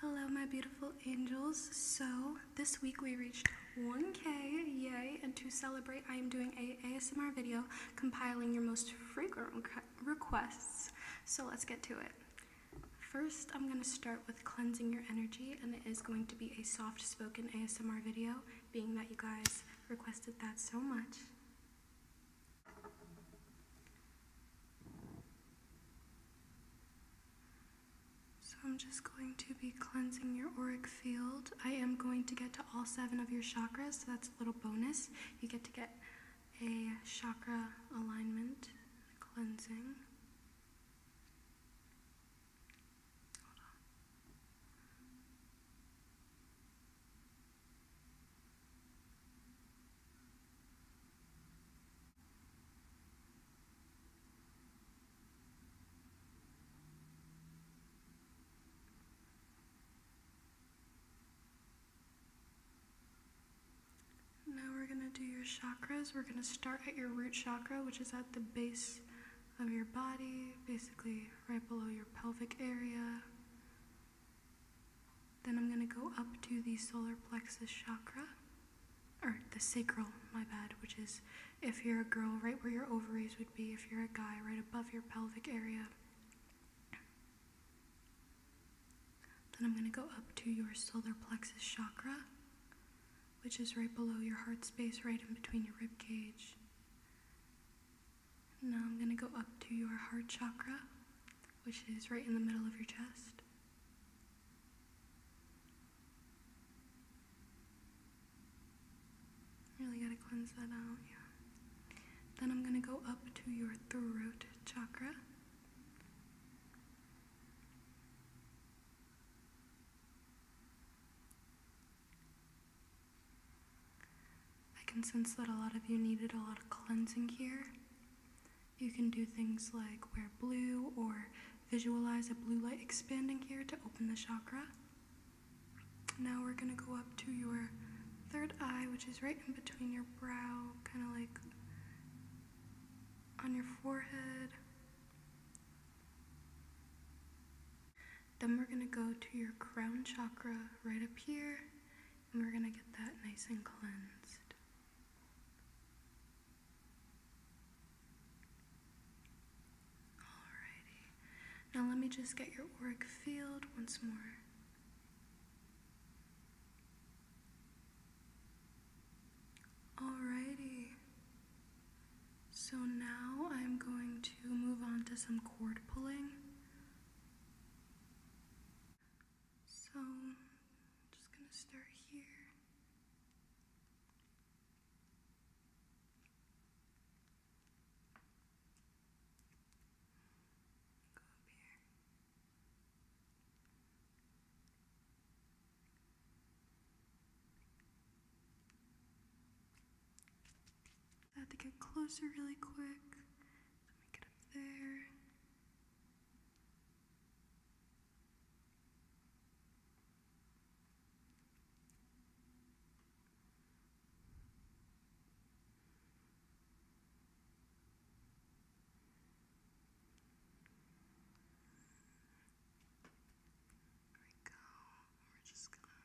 Hello, my beautiful angels. So, this week we reached 1K, yay! And to celebrate, I am doing a ASMR video compiling your most frequent requests. So, let's get to it. First, I'm going to start with cleansing your energy, and it is going to be a soft spoken ASMR video, being that you guys requested that so much. So I'm just going to be cleansing your auric field. I am going to get to all seven of your chakras, so that's a little bonus. You get to get a chakra alignment cleansing. Now we're going to do your chakras. We're going to start at your root chakra, which is at the base of your body, basically right below your pelvic area. Then I'm going to go up to the solar plexus chakra, or the sacral, my bad, which is if you're a girl, right where your ovaries would be, if you're a guy, right above your pelvic area. Then I'm going to go up to your solar plexus chakra, which is right below your heart space, right in between your rib cage. Now I'm going to go up to your heart chakra, which is right in the middle of your chest. Really gotta cleanse that out, Then I'm gonna go up to your throat chakra. I can sense that a lot of you needed a lot of cleansing here. You can do things like wear blue or visualize a blue light expanding here to open the chakra. Now we're gonna go up to your third eye, which is right in between your brow, kind of like on your forehead. Then we're gonna go to your crown chakra right up here, and we're gonna get that nice and cleansed. Alrighty. Now let me just get your auric field once more. Alrighty. So now I'm going to move on to some cord pulling. So I'm just going to start here. Go up here. have to get closer really quick. Let me get up there. There we go. We're just gonna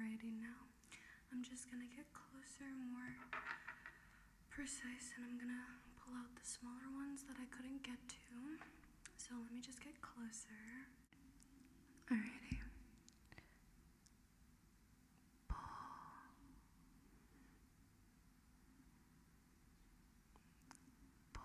Alrighty, now I'm just gonna get closer, more precise and I'm gonna pull out the smaller ones that I couldn't get to. So let me just get closer. Alrighty. Pull. Pull. Pull.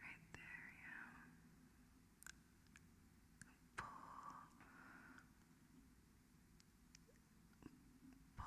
Right there, yeah. Pull. Pull. Pull. Pull.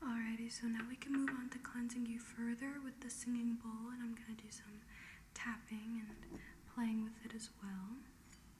Alrighty, so now we can move on to cleansing you further with the singing bowl, and I'm going to do some tapping and playing with it as well.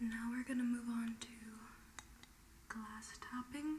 Now we're going to move on to glass topping.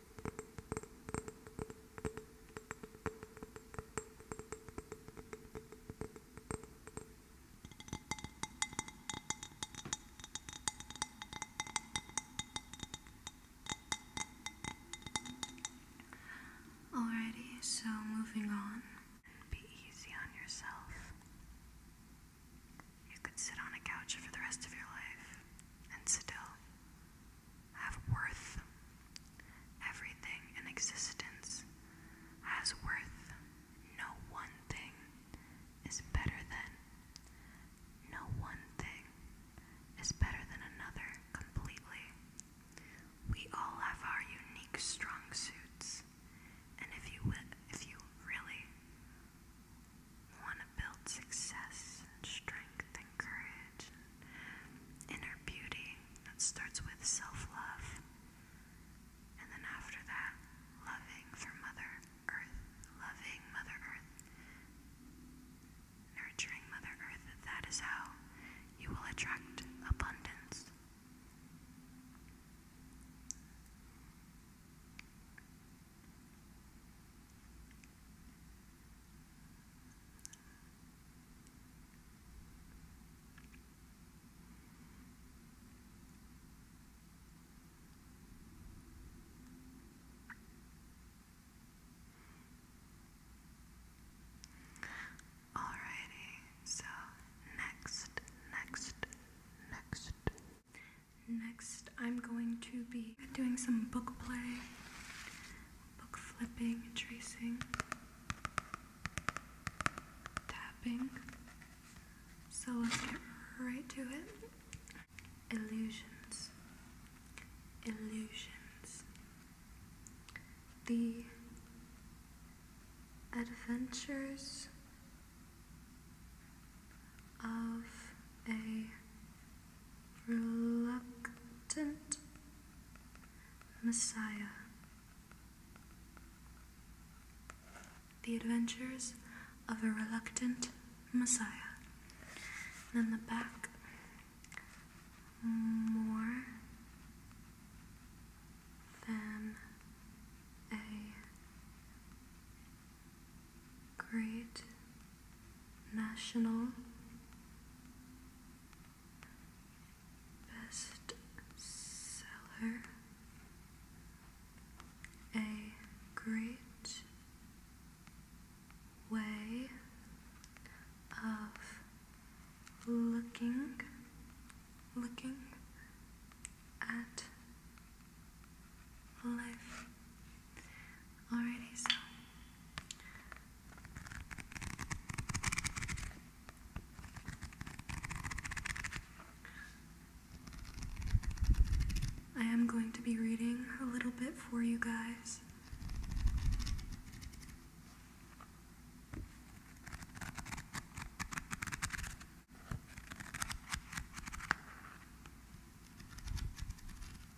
Alrighty, so moving on. Be easy on yourself. You could sit on a couch for the rest of your life and sit still have worth. Everything in existence has worth. No one thing is better than. No one thing is better than another completely. We all have our unique strong suits, and if you if you really want to build success and strength and courage inner beauty that starts with self love. And then after that, loving for Mother Earth, loving Mother Earth, nurturing Mother Earth. That is how you will attract abundance. Alrighty, so next, next, next. Next, I'm going to be doing some book play book flipping tracing, tapping. So let's get right to it. Illusions. Illusions. The adventures of a reluctant Messiah. The Adventures of a Reluctant Messiah. And the back, more than a great National Bestseller, A Great Way of Looking, looking at life. Alrighty, so I am going to be reading a little bit for you guys.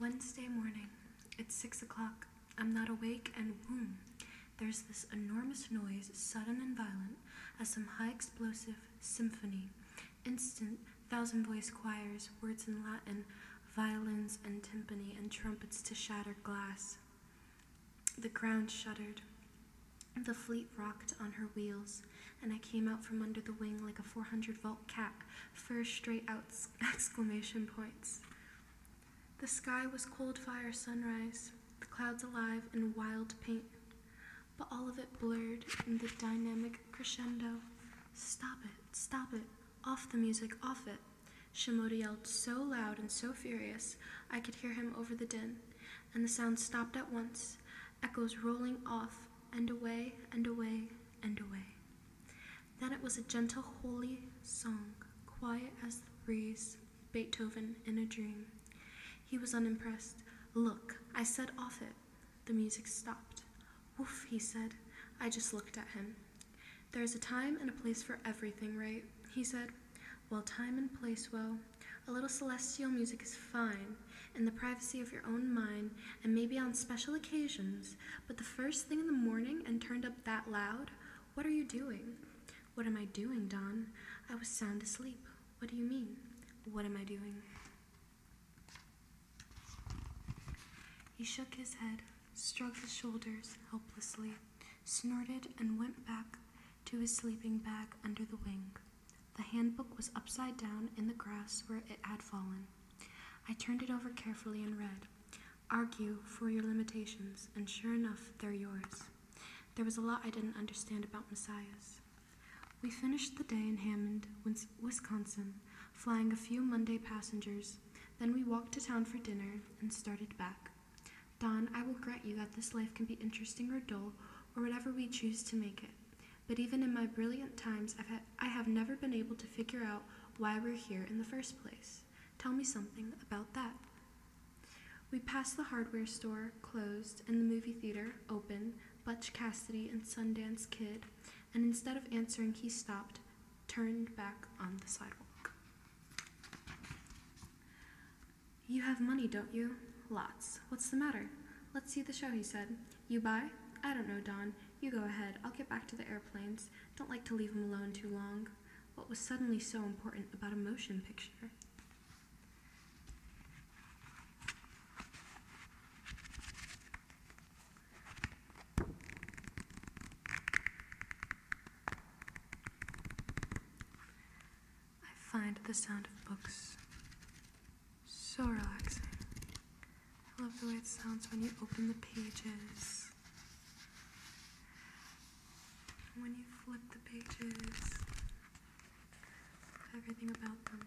Wednesday morning. It's six o'clock. I'm not awake, and boom, there's this enormous noise, sudden and violent, as some high explosive symphony. Instant, thousand voice choirs, words in Latin, violins and timpani, and trumpets to shatter glass. The ground shuddered. The fleet rocked on her wheels, and I came out from under the wing like a 400 volt cat, fur straight out exclamation points. The sky was cold fire sunrise, the clouds alive in wild paint, but all of it blurred in the dynamic crescendo. Stop it, stop it, off the music, off it. Shimoda yelled so loud and so furious I could hear him over the din, and the sound stopped at once, echoes rolling off and away and away and away. Then it was a gentle, holy song, quiet as the breeze, Beethoven in a dream. He was unimpressed. Look, I said off it. The music stopped. Woof, he said. I just looked at him. There is a time and a place for everything, right? He said. Well, time and place, well, a little celestial music is fine, in the privacy of your own mind, and maybe on special occasions, but the first thing in the morning and turned up that loud? What are you doing? What am I doing, Don? I was sound asleep. What do you mean? What am I doing? He shook his head, shrugged his shoulders helplessly, snorted, and went back to his sleeping bag under the wing. The handbook was upside down in the grass where it had fallen. I turned it over carefully and read. Argue for your limitations, and sure enough, they're yours. There was a lot I didn't understand about messiahs. We finished the day in Hammond, Wisconsin, flying a few Monday passengers. Then we walked to town for dinner and started back. Don, I will grant you that this life can be interesting or dull, or whatever we choose to make it. But even in my brilliant times, I've had I have never been able to figure out why we're here in the first place. Tell me something about that. We passed the hardware store, closed, and the movie theater, open, Butch Cassidy and Sundance Kid, and instead of answering, he stopped, turned back on the sidewalk. You have money, don't you? Lots. What's the matter? Let's see the show, he said. You buy? I don't know, Don. You go ahead. I'll get back to the airplanes. Don't like to leave them alone too long. What was suddenly so important about a motion picture? I find the sound of books so relaxing. I love the way it sounds when you open the pages. When you flip the pages, everything about them.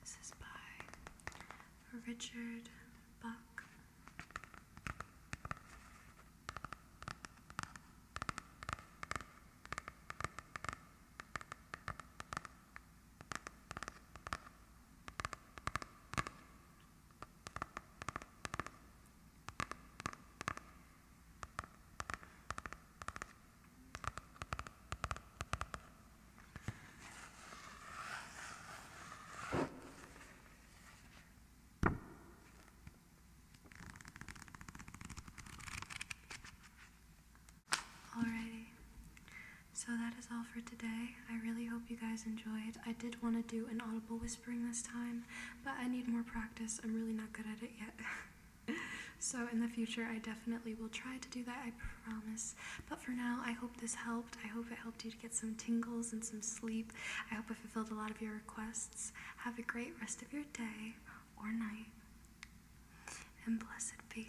This is by Richard Buck. Alrighty, so that is all for today. I really hope you guys enjoyed. I did want to do an audible whispering this time, but I need more practice. I'm really not good at it yet. so, in the future, I definitely will try to do that. I promise. But for now, I hope this helped. I hope it helped you to get some tingles and some sleep. I hope I fulfilled a lot of your requests. Have a great rest of your day or night, and blessed be.